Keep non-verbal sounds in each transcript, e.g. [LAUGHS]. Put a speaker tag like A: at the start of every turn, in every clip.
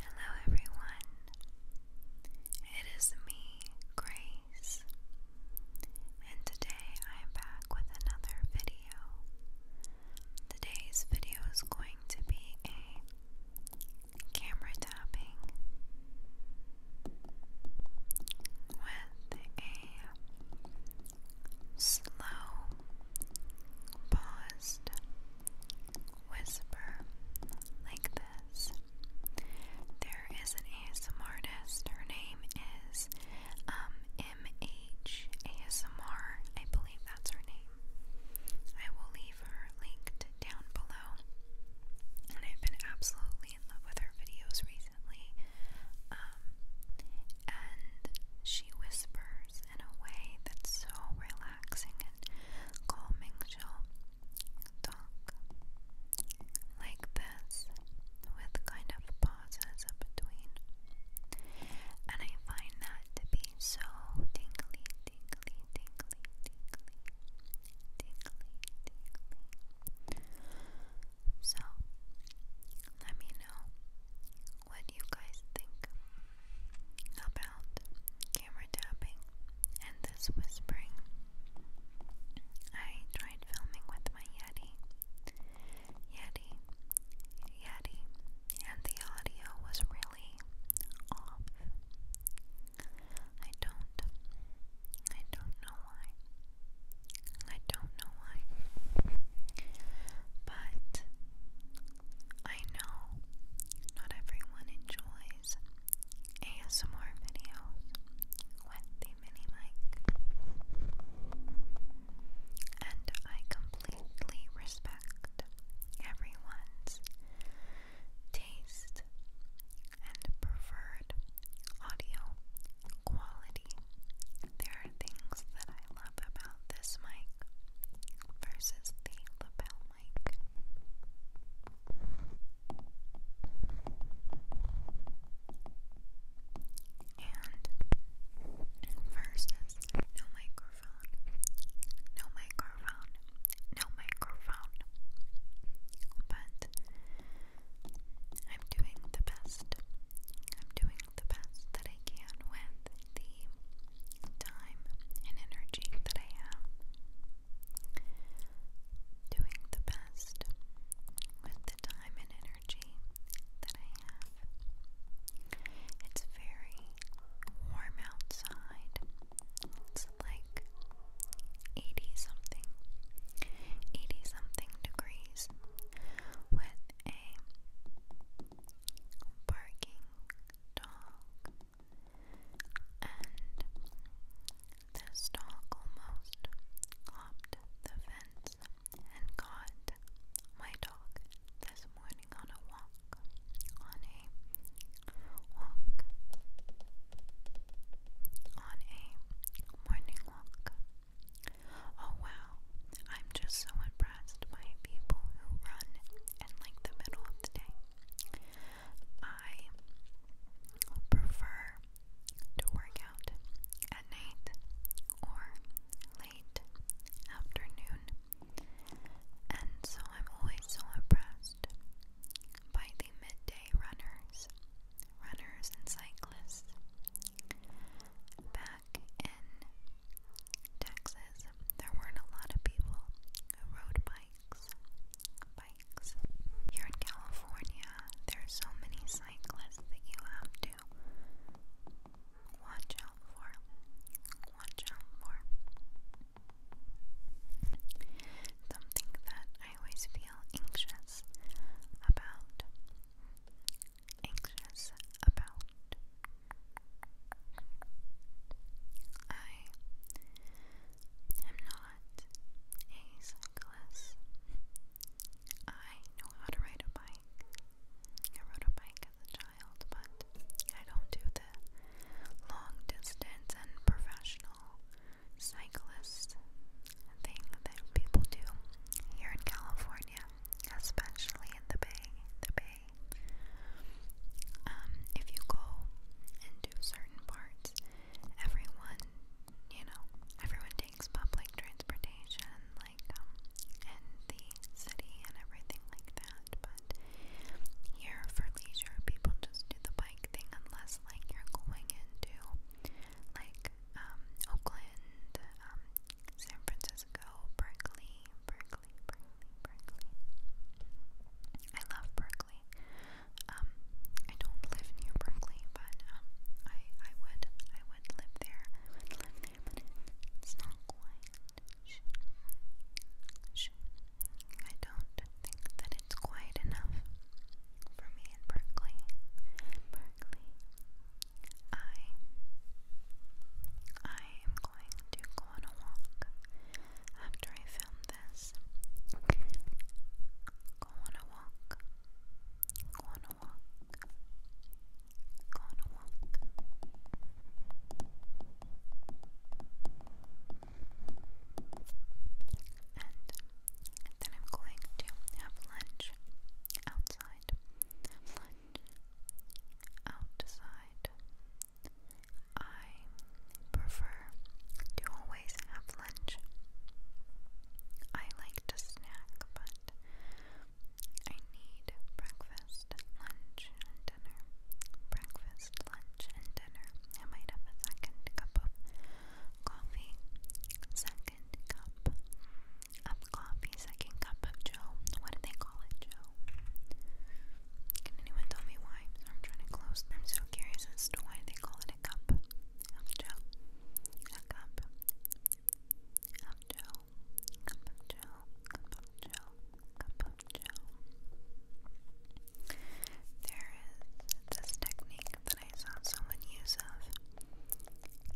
A: Hello, everyone. It is me, Grace, and today I am back with another video. Today's video is going to be a camera tapping with a slow, paused whisper like this. There is an ASM artist. Her name is um, MH ASMR. I believe that's her name. I will leave her linked down below. And I've been absolutely in love with her videos recently. Um, and she whispers in a way that's so relaxing and calming shall talk like this with kind of pauses between. And I find that to be so tingly, tingly, tingly, tingly, tingly, tingly. So, let me know what do you guys think about camera tapping and this whispering. I tried filming with my Yeti, Yeti, Yeti, and the audio was really off. I don't, I don't know why. I don't know why. But I know not everyone enjoys ASMR videos with the mini mic, and I completely respect everyone's taste and preferred audio quality. There are things that I love about this mic versus the lapel mic. And versus no microphone, no microphone, no microphone. But I'm doing the best. I'm doing the best that I can with the time and energy that I have doing the best with the time and energy that I have. It's very warm outside. It's like 80 something, 80 something degrees with a barking dog, and this dog almost hopped the fence and caught my dog this morning on a walk. On a walk. On a morning walk. Oh wow, I'm just so impressed by people who run in like the middle of the day. I prefer to work out at night or late afternoon, and so I'm always so impressed by the midday runners, runners and cyclists back in Texas, there weren't a lot of people who rode bikes. Bikes. Here in California, there's so many cyclists that you have to watch out for. Watch out for. Something that I always feel anxious about anxious about. I am not a cyclist. I know how to ride a bike. I rode a bike as a child, but I don't do the long distance and professional cyclist thing that people do here in California especially in the Bay, the Bay. Um, if you go into certain parts, everyone, you know, everyone takes public transportation, like, um, in the city and everything like that, but here for leisure, people just do the bike thing unless, like, you're going into, like, um, Oakland, um, San Francisco, Berkeley, Berkeley, Berkeley, Berkeley. I love Berkeley. Um, I don't live near Berkeley, but um, I I would I would live there. it's not quite. I don't think that it's quite enough for me in Berkeley. I I am going to go on a walk after I film this. Go on a walk. Go on a walk. Go on a walk. And then I'm going to have lunch outside outside. I prefer to always have lunch. I like to snack, but I need breakfast, lunch, and dinner. Breakfast, lunch, and dinner. I might have a second cup of coffee, second cup of second cup of Joe. What do they call it, Joe? Can anyone tell me why? I'm trying to close. I'm so curious as to why they call it a cup of Joe. A cup of Joe. Cup of Joe. Cup Cup of Joe. There is this technique that I saw someone use of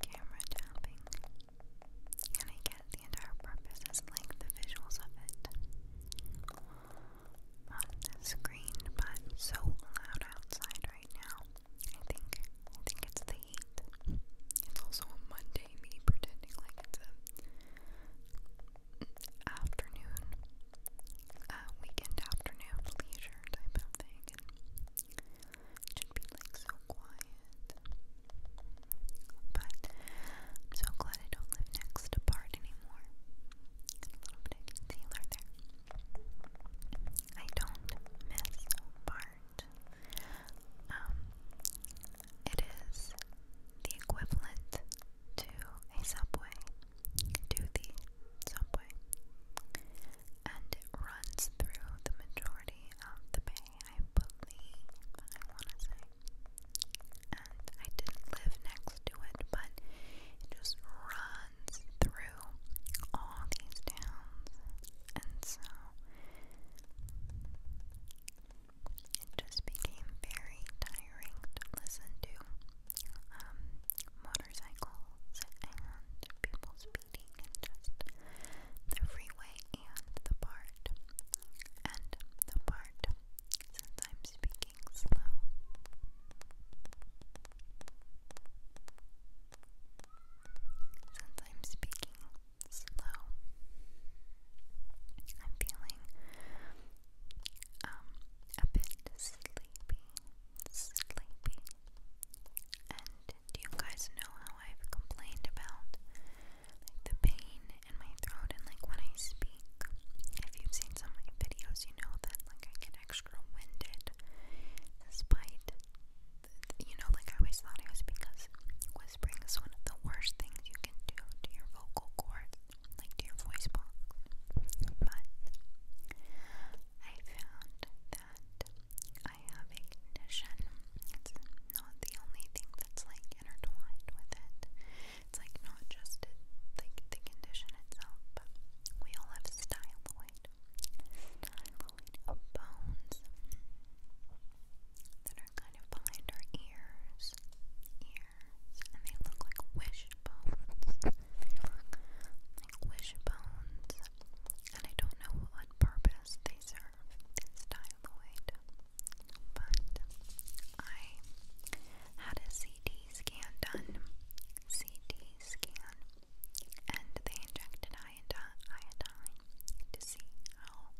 A: camera tapping. And I guess the entire purpose is like the visuals of it on the screen, but so loud outside right now. I think I think it's the heat. It's also a Monday me pretending like it's a afternoon, weekend afternoon leisure type of thing should be like so quiet. But I'm so glad I don't live next to Bard anymore. a little bit of concealer there. I don't miss Bard. Um, it is the equivalent to a subway, to the subway and it runs through the majority of the bay, I believe, I want to say. And I didn't live next to it, but it just runs through all these towns, and so it just became very tiring to listen to um, motorcycles and people's speeding in just the freeway and the part. And the part, since speaking slow. Since speaking slow, I'm feeling um a bit sleepy, sleepy, and do you guys know how I've complained about like the pain in my throat and like when I speak? If you've seen some of my videos, you know that like I get extra winded despite you know like I always thought it was because whispering is one of the worst things you can do to your vocal cords, like to your voice box. But I found that I have a condition. It's not the only thing that's like intertwined with it. It's like not just it, the condition itself, but we all have styloid, styloid bones that are kind of behind our ears, ears, and they look like wishbones. like wishbones, and I don't know what purpose they serve this dialoid, but I had a CT scan done, CT scan, and they injected iodine to see how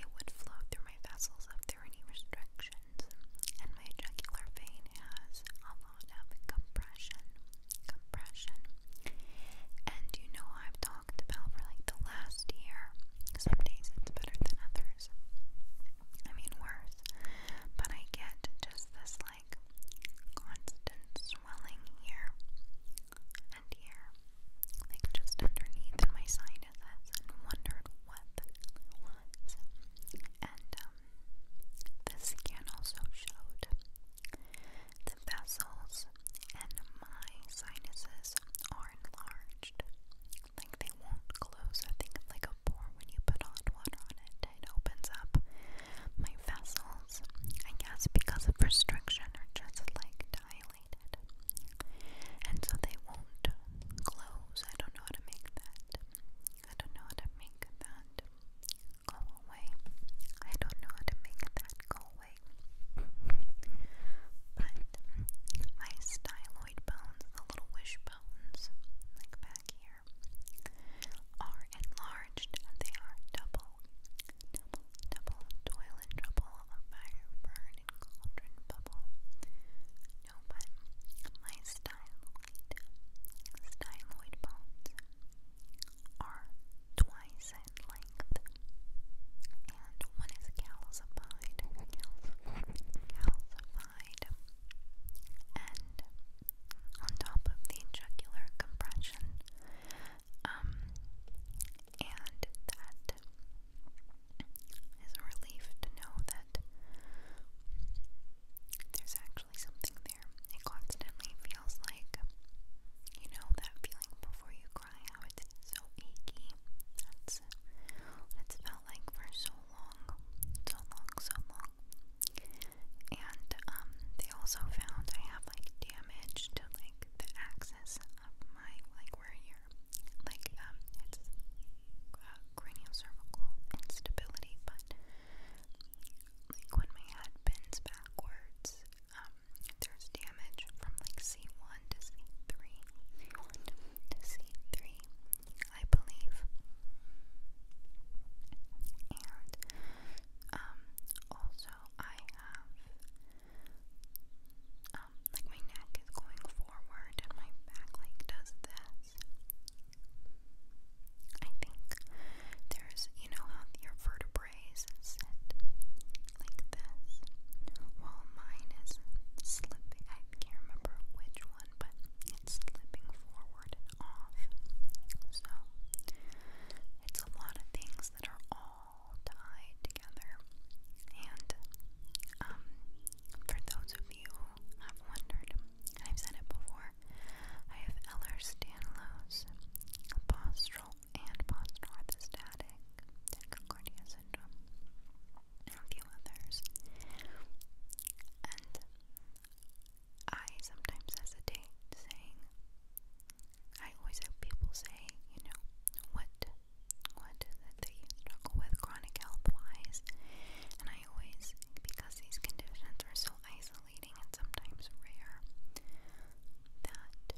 A: it would flow through my vessels if there any restrictions, and my jugular vein has a lot of compression compression. And you know, I've talked about for like the last year, some days it's better than others. I mean, worse. But I get just this like constant swelling here and here, like just underneath my sinuses, and wondered what it was. And, um, the scan also showed the vessels and my sinuses are enlarged. Like they won't close. I think like a pore when you put hot water on it, it opens up my vessels. I guess because of restriction are just like dilated. And so they won't close. I don't know how to make that. I don't know how to make that go away. I don't know how to make that go away. But my styloid bones, the little wish like back here, are enlarged. They are double, double, double, toil fire burn cauldron bubble. No, but my styloid, styloid bones are twice in length, and one is calcified, calcified, and on top of the jugular compression, um, and that is a relief to know that there's actually actually something there. It constantly feels like, you know, that feeling before you cry out. It's so achy. That's what it's felt like for so long. So long, so long. And um, they also found I have like damage to like the axis of my like where you're like um it's uh, cranial cervical instability, but like when my head bends backwards, um, there's damage from like C1 to C3, to C3, I believe. And um, also I have um, like my neck is going forward and my back like does this. I think there's, you know, how your vertebrae is set like this. While mine is slipping, I can't remember which one, but it's slipping forward and off. So, it's a lot of things that are all tied together. And, um, for those of you have wondered, I've said it before, I have Ehlers-Danlos, postural and postural static tachycardia syndrome, and a few others. And I sometimes hesitate saying, I always have people say, you know, what, what is that you struggle with chronic health-wise? And I always, because these conditions are so isolating and sometimes rare, that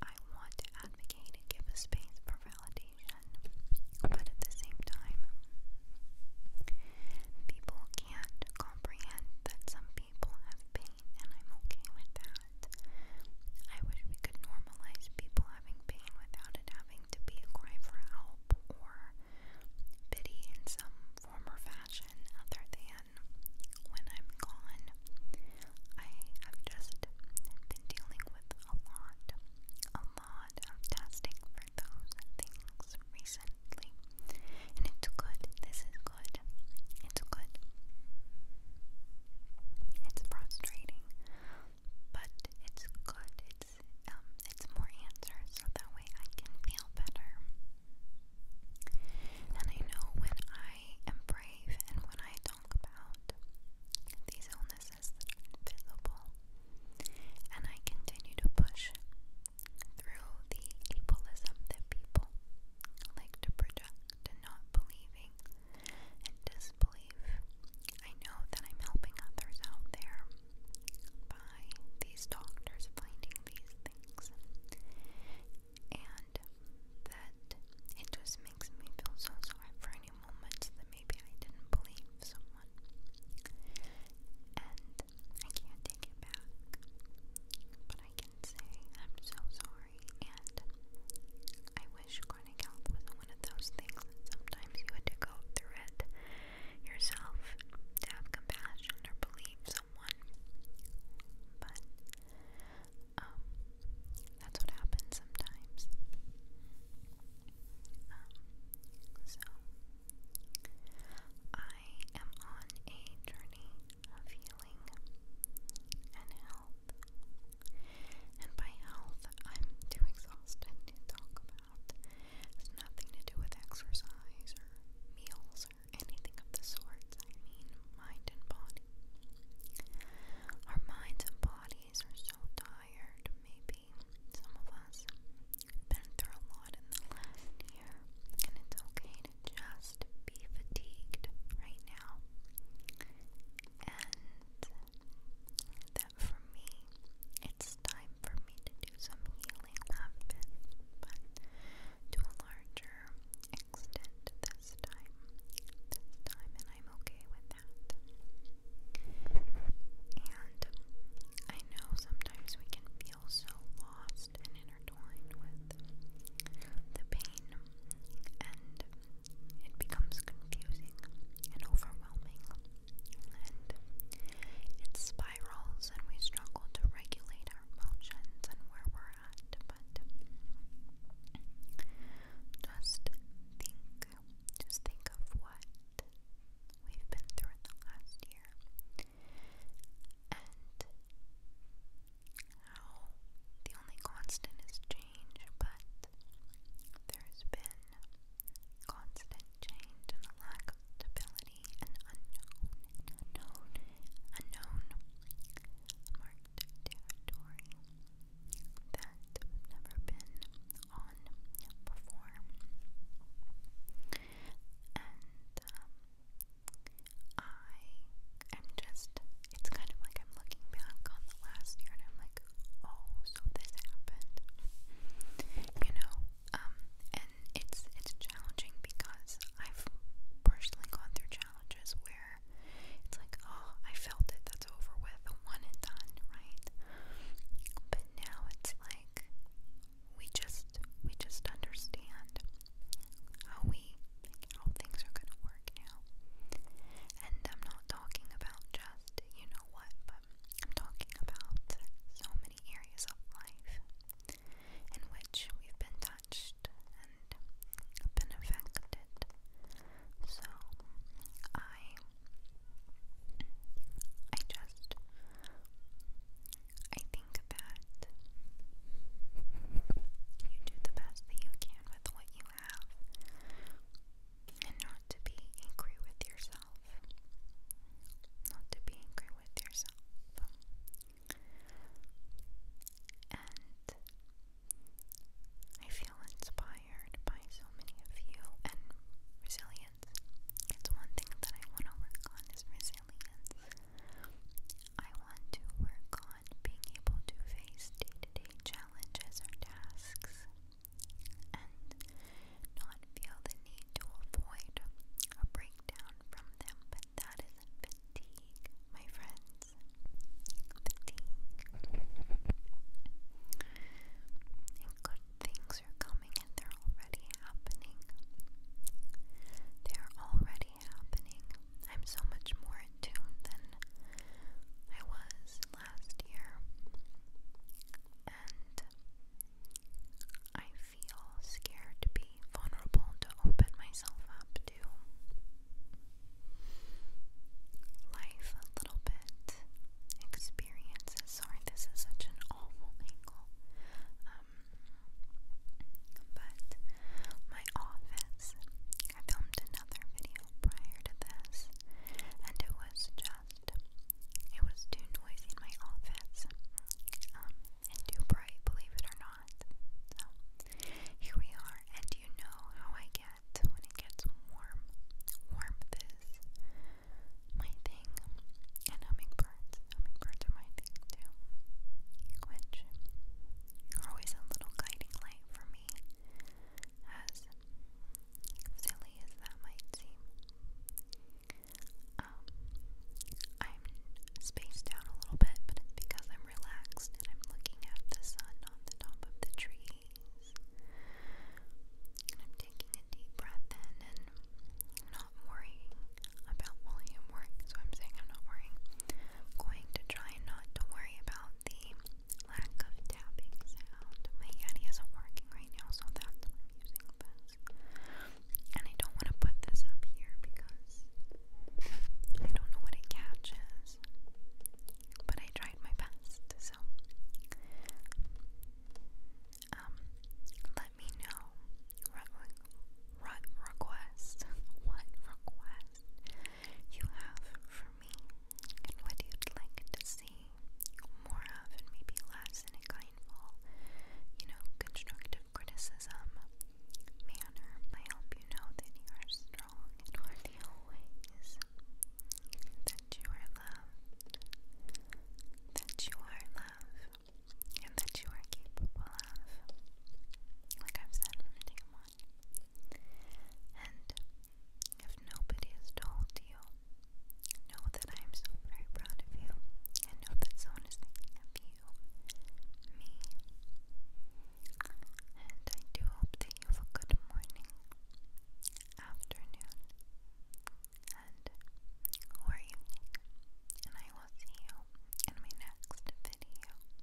A: I want to advocate and give a space for validation. But at the same time, people can't comprehend that some people have pain, and I'm okay with that. I wish we could normalize people having pain without it having to be a cry for help or Biddy in some form fashion other than when I'm gone. I have just been dealing with a lot, a lot of testing for those things recently. And it's good. This is good. It's good. It's frustrating but it's good. It's um, it's more answers, so that way I can feel better. And I know when I am brave and when I talk about these illnesses that are invisible, and I continue to push through the ableism that people like to project and not believing and disbelief. I know that I'm helping others out there, by these doctors finding these things, and that it just makes me feel so sorry for any moments that maybe I didn't believe someone, and I can't take it back. But I can say I'm so sorry, and I wish Corning Health was one of those things that sometimes you had to go through it yourself to have compassion or believe someone. But um, that's what happens sometimes. Um, so I am on a journey of healing and health. And by health, I'm too exhausted to talk about about. It has nothing to do with exercise or meals or anything of the sorts. I mean mind and body. Our minds and bodies are so tired, maybe some of us have been through a lot in the last year, and it's okay to just be fatigued right now. And for me, it's time for me to do some healing. i but to a larger extent this time, this time, and I'm okay with that. And I know sometimes we can feel so lost and intertwined with the pain it becomes confusing and overwhelming, and it spirals, and we struggle to regulate our emotions and where we're at. But just think, just think of what we've been through in the last year and how the only constant is change, but there's been constant change and a lack of stability and unknown, unknown, unknown marked territory that was never been on before. And I am just, it's kind of like I'm looking back on the last year and I'm like, oh, so this happened. You know, um, and it's it's challenging because I've personally gone through challenges where it's like, oh, I felt it, that's over with, one and done, right? But now it's like we just we just understand how we like, how things are gonna work work And I'm not talking about just you know what, but I'm talking about so many areas of life in which we've been touched and been affected. So I I just I think that you do the best that you can with what you have and not to be angry with yourself. Not to be angry with yourself. And I feel inspired by so many of you and resilience. It's one thing that I want to work on is resilience. I want to work on being able to face day-to-day -day challenges or tasks and not feel the need to avoid or break from them, but that is fatigue, my friends. Fatigue. good things are coming and they're already happening. They're already happening. I'm so much more in tune than I was last year, and I feel scared to be vulnerable to open myself up to life a little bit, experiences. Sorry, this is such an awful angle. Um, but my office, I filmed a another video prior to this, and it was just, it was too noisy in my office, um, and too bright, believe it or not. So, here we are, and you know how I get when it gets warm. Warmth is my thing, and hummingbirds. Hummingbirds are my thing too, which are always a little guiding light for me as silly as that might seem. Um, I'm spaced out a little bit, but it's because I'm relaxed and I'm looking at the sun on the top of the trees. And I'm taking a deep breath in and not worrying about volume work, so I'm saying I'm not worrying. I'm going to try not to worry about the lack of tapping sound. My Yeti isn't working right now, so that's what I'm using this. And I don't want to put this up here because I don't know what it catches. But I tried my best, so um let me know what request what request [LAUGHS] you have for me and what you'd like to see more of and maybe less in a kindful, you know, constructive criticism manner. I hope you know that you are strong and worthy always, that you are loved, that you are loved, and that you are capable of. Like I've said, I'm gonna take a moment on. And if nobody has told you, know that I am so very proud of you. And know that someone is thinking of you, me. And I do hope that you have a good morning, afternoon, and or evening. And I will see you in my next video.